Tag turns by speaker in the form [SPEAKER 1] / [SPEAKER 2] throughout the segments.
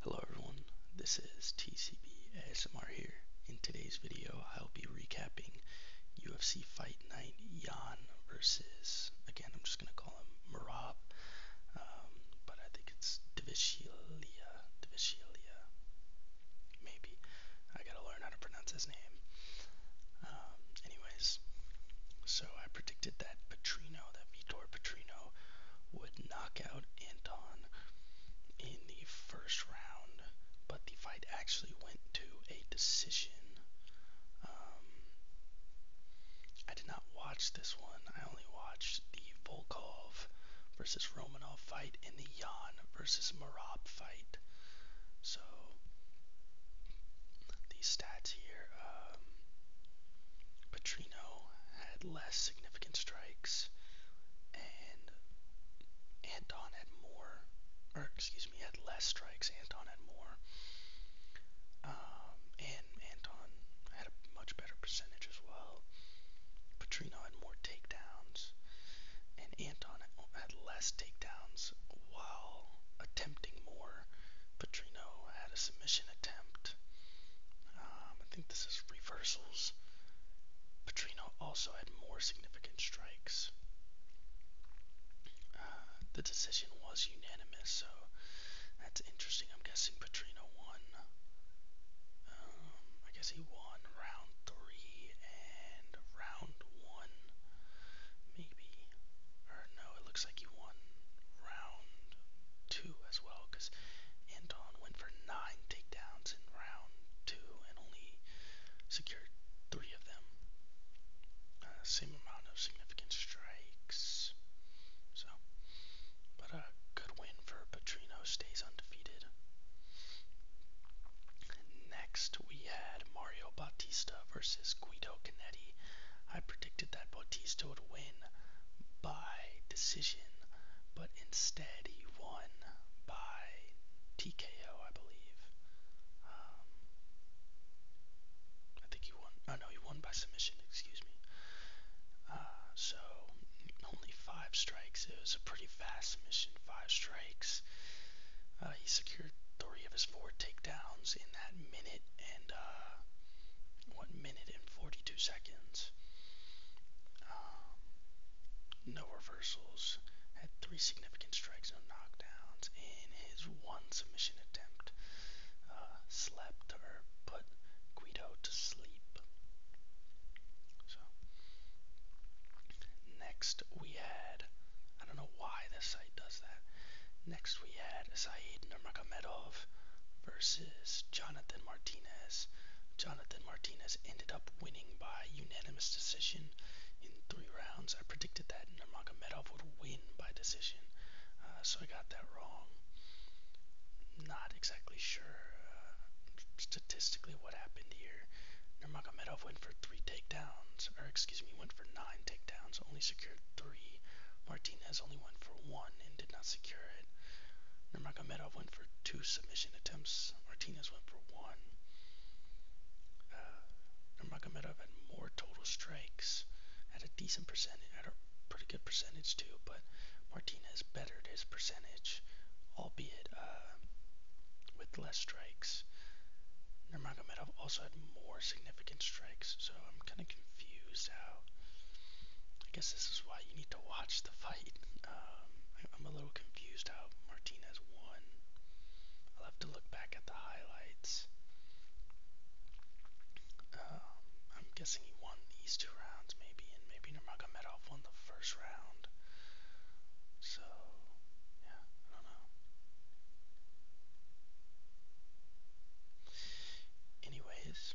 [SPEAKER 1] Hello everyone, this is TCB ASMR here. In today's video, I'll be recapping UFC Fight Night Jan versus, again, I'm just going to call him Marab, um, but I think it's Divishilia, Divishilia, maybe. I gotta learn how to pronounce his name. Um, anyways, so I predicted that Petrino, that Vitor Petrino Lomachenko would knock out Anton in the first round, but the fight actually went to a decision. Um, I did not watch this one. I only watched the Volkov versus Romanov fight and the Yan versus Marab fight. So these stats here, um, Petrino had less significant strikes, and Anton had more, or excuse me, had less strikes. Anton had more, um, and Anton had a much better percentage as well. Petrino had more takedowns, and Anton had less takedowns while attempting more Patrino had a submission attempt. Um, I think this is reversals. Petrino also had more significant strikes. Uh, the decision was unanimous, so that's interesting. I'm guessing Patrino won. Um, I guess he won round three and round one, maybe. Or it looks like he won round two as well because Anton went for nine takedowns in round two and only secured three of them. Uh, same amount of significant strikes. So, but a good win for Petrino stays undefeated. Next, we had Mario Bautista versus Guido Canetti. I predicted that Bautista would win by decision, but instead he won by TKO, I believe. Um, I think he won. Oh no, he won by submission. Excuse me. Uh, so only five strikes. It was a pretty fast submission. Five strikes. Uh, he secured three of his four takedowns in that minute, and uh, one minute and 42 seconds. Um, no reversals, had three significant strikes, no knockdowns, and his one submission attempt uh, slept or put Guido to sleep. So, next we had, I don't know why this does that. Next, we had Saeed Nurmagomedov versus Jonathan Martinez. Jonathan Martinez ended up winning by unanimous decision in three rounds. I predicted that Nurmagomedov would win by decision, uh, so I got that wrong. Not exactly sure uh, statistically what happened here. Nurmagomedov went for three takedowns, or excuse me, went for nine takedowns, only secured three. Martinez only went for one and did not secure it. Nurmagomedov went for two submission attempts. Martinez went for one. Uh, Nurmagomedov had more total strikes, at a decent percentage, at a pretty good percentage too, but Martinez bettered his percentage, albeit uh, with less strikes. Nurmagomedov also had more significant strikes, so I'm kind of confused how. I guess this is why you need to watch the fight. Um, I, am a little confused how Martinez won. I'll have to look back at the highlights. Um, I'm guessing he won these two rounds, maybe, and maybe Nurmagomedov won the first round. So, yeah, I don't know. Anyways,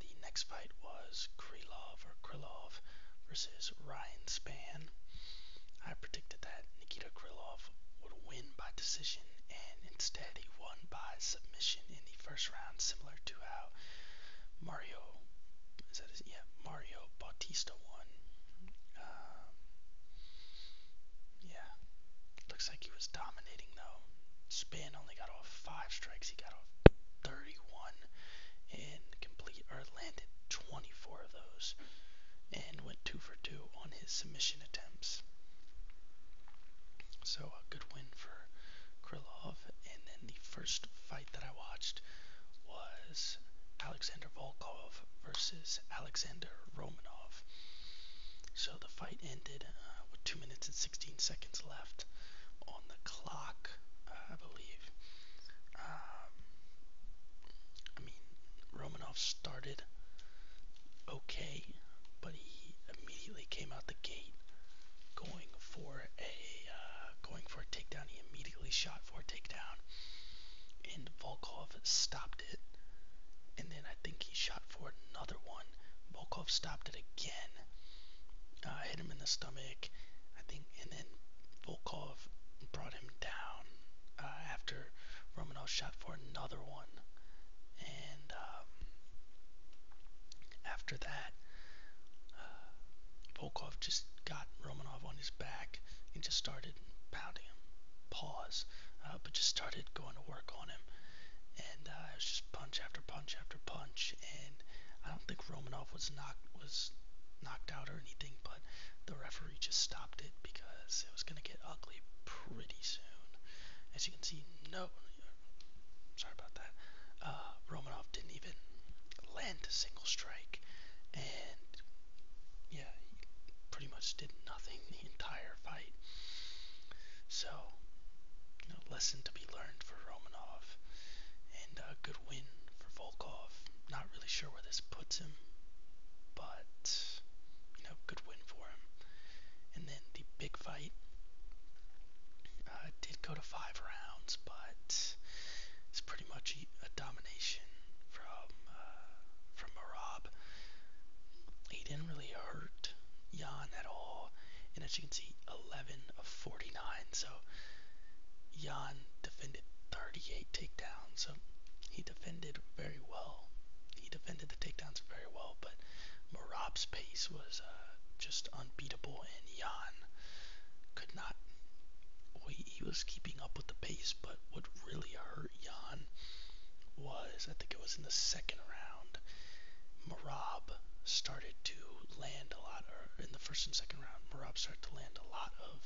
[SPEAKER 1] the next fight was Krylov or Krilov versus Ryan Span. I predicted that Nikita Krylov would win by decision, and instead he won by submission in the first round, similar to how Mario is that his, yeah Mario Bautista won. Um, yeah. Looks like he was dominating though. Spin only got off five strikes. He got off 31 and complete or landed 24 of those and went two for two on his submission attempts. So a good win for Krylov. And then the first fight that I watched was Alexander Volkov versus Alexander Romanov. So so the fight ended uh, with 2 minutes and 16 seconds left on the clock, uh, I believe. Um, I mean, Romanov started okay, but he immediately came out the gate going for a uh, going for a takedown. He immediately shot for a takedown, and Volkov stopped and then I think he shot for another one. Volkov stopped it again. Uh, hit him in the stomach, I think, and then Volkov brought him down uh, after Romanov shot for another one. And um, after that, uh, Volkov just got Romanov on his back and just started started pounding him, pause, uh, but just started going to work on him. And uh, it was just punch after punch after punch. And I don't think Romanov was knocked was knocked out or anything, but the referee just stopped it because it was gonna get ugly pretty soon. As you can see, no, sorry about that. Uh, Romanov didn't even land a single strike, and yeah, pretty much did nothing the entire fight. So, you lesson to be learned for Romanov, and a good win for Volkov. Not really sure where this puts him, but you know, good win for him. And then the big fight uh, did go to five rounds, but it's pretty much a domination from uh, from Marab. He didn't really hurt Jan at all, and as you can see, 11 of 49. So Jan defended 38 takedowns. So he defended very well. He defended the takedowns very well, but Marab's pace was uh, just unbeatable, and Jan could not. he was keeping up with the pace, but what really hurt hurt Jan was, I think it was in the second round, Marab started to land a lot, or in the first and second round, Marab started to land a lot of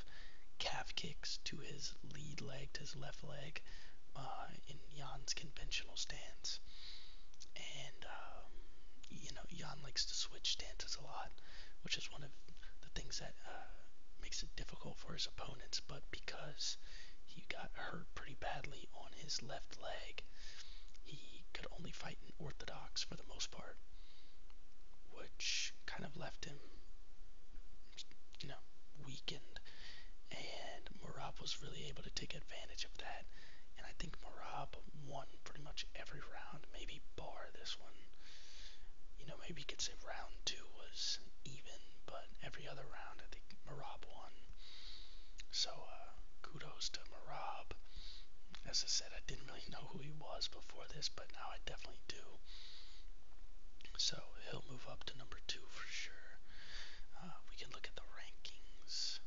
[SPEAKER 1] calf kicks to his lead leg, to his left leg, uh, in Jan's conventional stance. And, um, you know, Jan likes to switch stances a lot, which is one of the things that uh, makes it difficult for his Taylor's opponents, but because he got hurt pretty badly on his left leg, he could only fight in orthodox for the most part, which kind of left him, you know, weakened. And Marab was really able to take advantage of that. And I think Marab won pretty much every round, maybe bar far this one. You know, maybe you could say round two was even, but every other round I think Marab won. So uh, kudos to Marab. As I said, I didn't really know who he was before this, but now I definitely do. So he'll move up to number two for sure. Uh, we can look at the rankings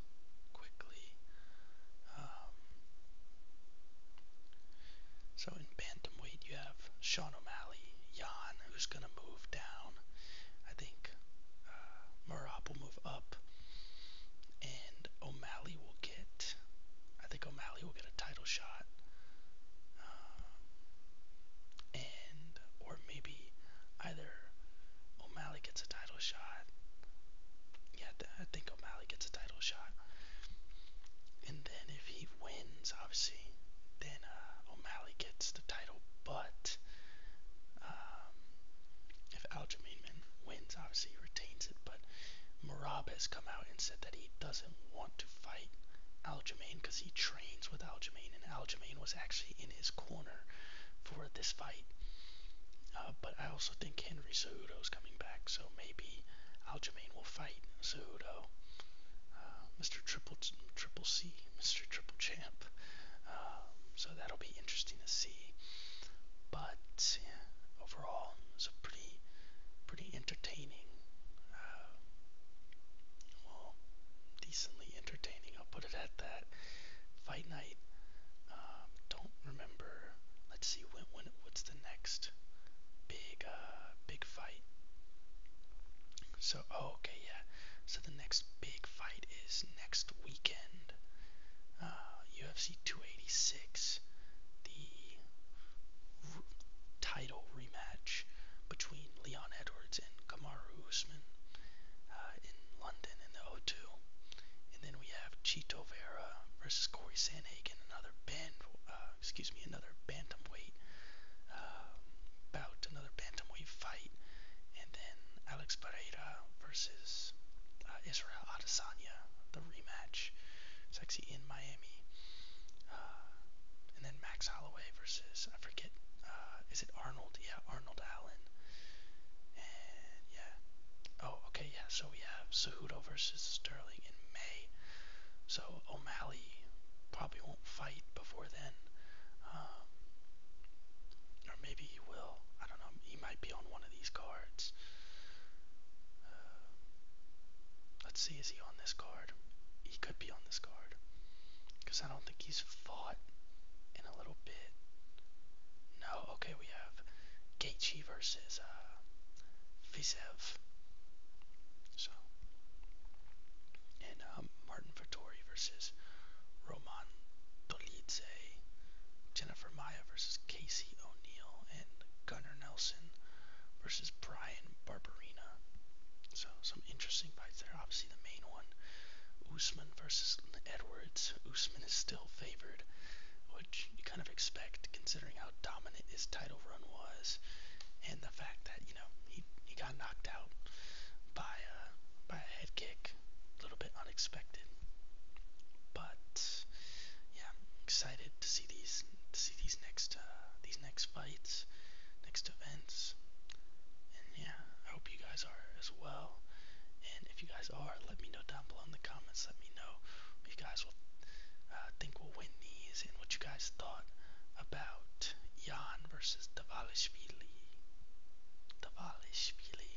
[SPEAKER 1] quickly. Um, so in bantamweight, you have Sean O'Malley, Jan, who's going to move down. I think uh, Murat will move up, and O'Malley will get. I think O'Malley will get a title shot, um, and or maybe either O'Malley gets a title shot. Yeah, I think O'Malley gets a title shot, and then if he wins, obviously, then uh, O'Malley gets the title. But um, if Aljamain wins, obviously he retains it. But Marab has come out and said that he doesn't want to fight Aljamain because he trains with Aljamain, and Aljamain was actually in his corner for this fight. Uh, but I also think Henry Cejudo's coming so maybe Aljamain will fight Cejudo. Uh, Mr. Triple Triple C, Mr. Triple Champ. Um, so that'll be interesting to see. But yeah, overall, it's a pretty, pretty entertaining. Uh, well, decently entertaining. I'll put it at that. Fight night. Um, don't remember. Let's see when when what's the next big uh, big fight? So oh, okay, yeah. So the next big fight is next weekend. UFC uh, 286, the title rematch between Leon Edwards and Kamaru Usman uh, in London in the O2. And then we have Chito Vera versus Corey Sanhagen, another banned uh, excuse me, another bantamweight uh, bout, another bantamweight fight, and then Alex Pereira versus uh, Israel Adesanya, the rematch. sexy in Miami. Uh, and then Max Holloway versus I forget, uh, is it Arnold? Yeah, Arnold Allen. And yeah. Oh, okay, yeah. So we have Sue Cejudo versus Sterling in May. So O'Malley probably won't fight before then. Um, or maybe he will. I don't know. He might be on one of these cards. Uh, let's see, is he on this card? He could be on this card. Because I don't think he's fought in a little bit. No, uh, okay, we have Gaethje versus uh, Fisev. So, and um, Martin Vittori versus Roman Dolidze, Jennifer Maya versus Casey O'Neill, and Gunnar Nelson versus Brian Barberina. So, some interesting fights there. Obviously, the main one Usman versus Edwards. Usman is still favored you kind of expect considering how dominant his title run was, and the fact that you know he he got knocked out by uh, by a head kick, a little bit unexpected. But yeah, I'm excited to see these to see these next uh, these next fights, next events, and yeah, I hope you guys are as well. And if you guys are, let me know down below in the comments. Let me know you guys will uh, think will win these and what you guys thought about Jan versus Davalishvili. Davalishvili.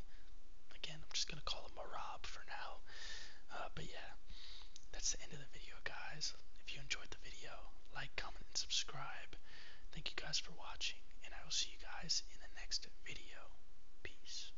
[SPEAKER 1] Again, I'm just going to call him Marab for now. Uh, but yeah, that's the end of the video, guys. If you enjoyed the video, like, comment, and subscribe. Thank you guys for watching, and I will see you guys in the next video. Peace.